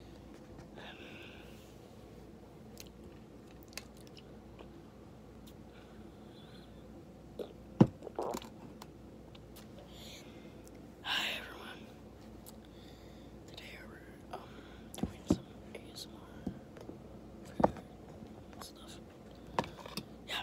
Hi everyone. Today we're um, doing some ASMR stuff. Yeah.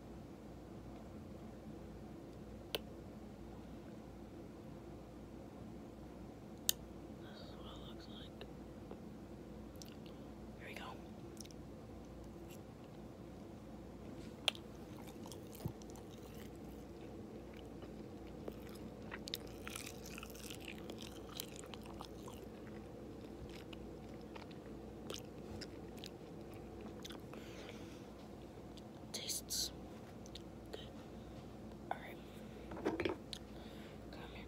This is what it looks like. Here we go. Tastes good. Alright. Come here.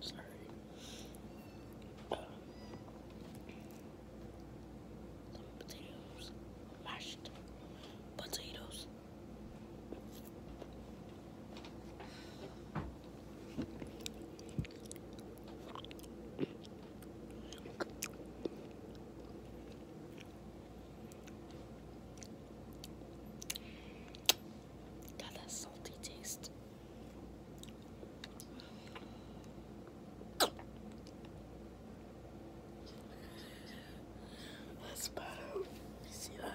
Sorry. some potatoes, mashed potatoes. Got that salty taste. That's better. You see that?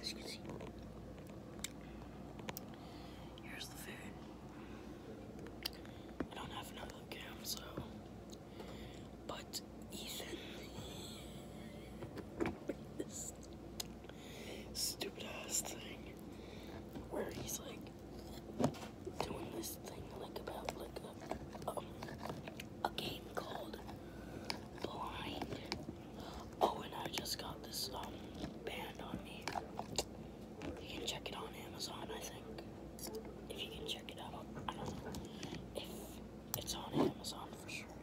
As you can see, here's the food. I don't have another cam, so. But Ethan, this stupid thing where he's like doing this thing like about like um, a game called Blind. Oh, and I just got this um band on me. You can check it on Amazon, I think. If you can check it out, I don't know if it's on Amazon for sure.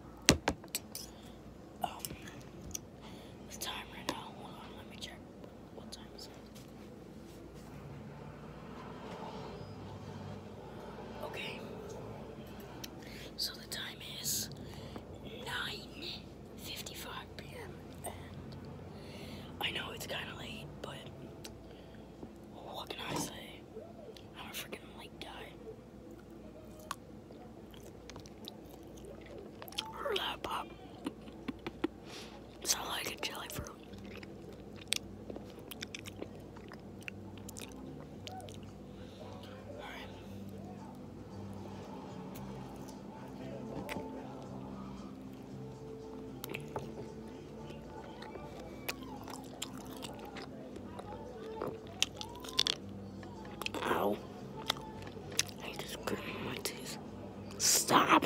Um, the time right now. Hold on, let me check. What time is it? Okay. So the time is 9.55 p.m. I know it's kind of late, but what can I say? I'm freaking late guy. Or that pop. like jelly fruit. All right. Ow. I just grit my teeth. Stop.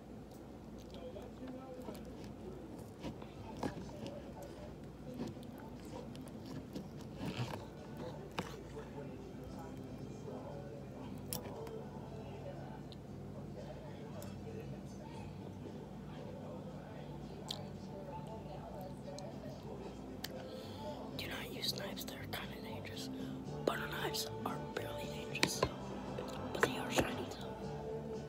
Do not use knives, they're kind of dangerous. Butter knives are barely dangerous, but they are shiny though.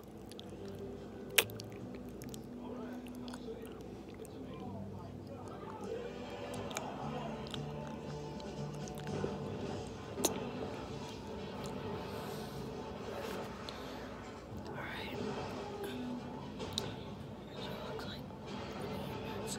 All right. Here's what it looks like. That's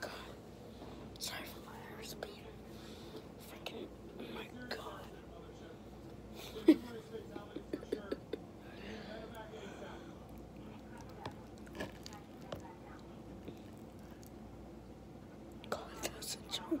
God. Sorry for my hair speed. Freaking, oh my God. God, that's a joke.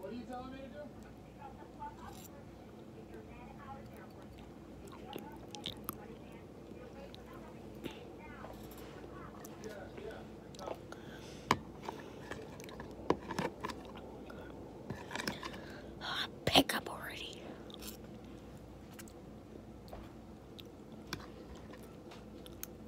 What are you telling me to do? Pick up already.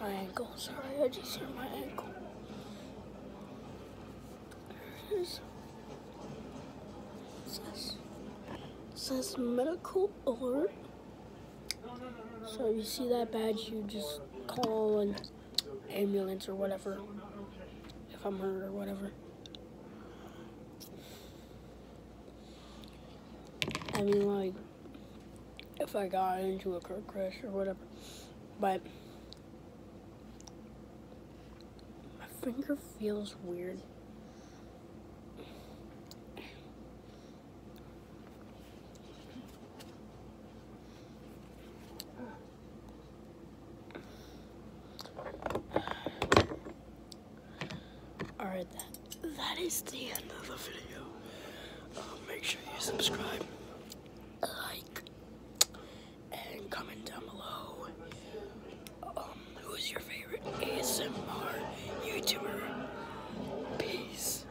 my ankle. Sorry, I just hit my ankle. It says, it says medical alert. So you see that badge, you just call and ambulance or whatever if I'm hurt or whatever. I mean, like, if I got into a car crash or whatever. But my finger feels weird. Alright, that is the end of the video. Uh, make sure you subscribe, like, and comment down below um, who is your favorite ASMR YouTuber. Peace.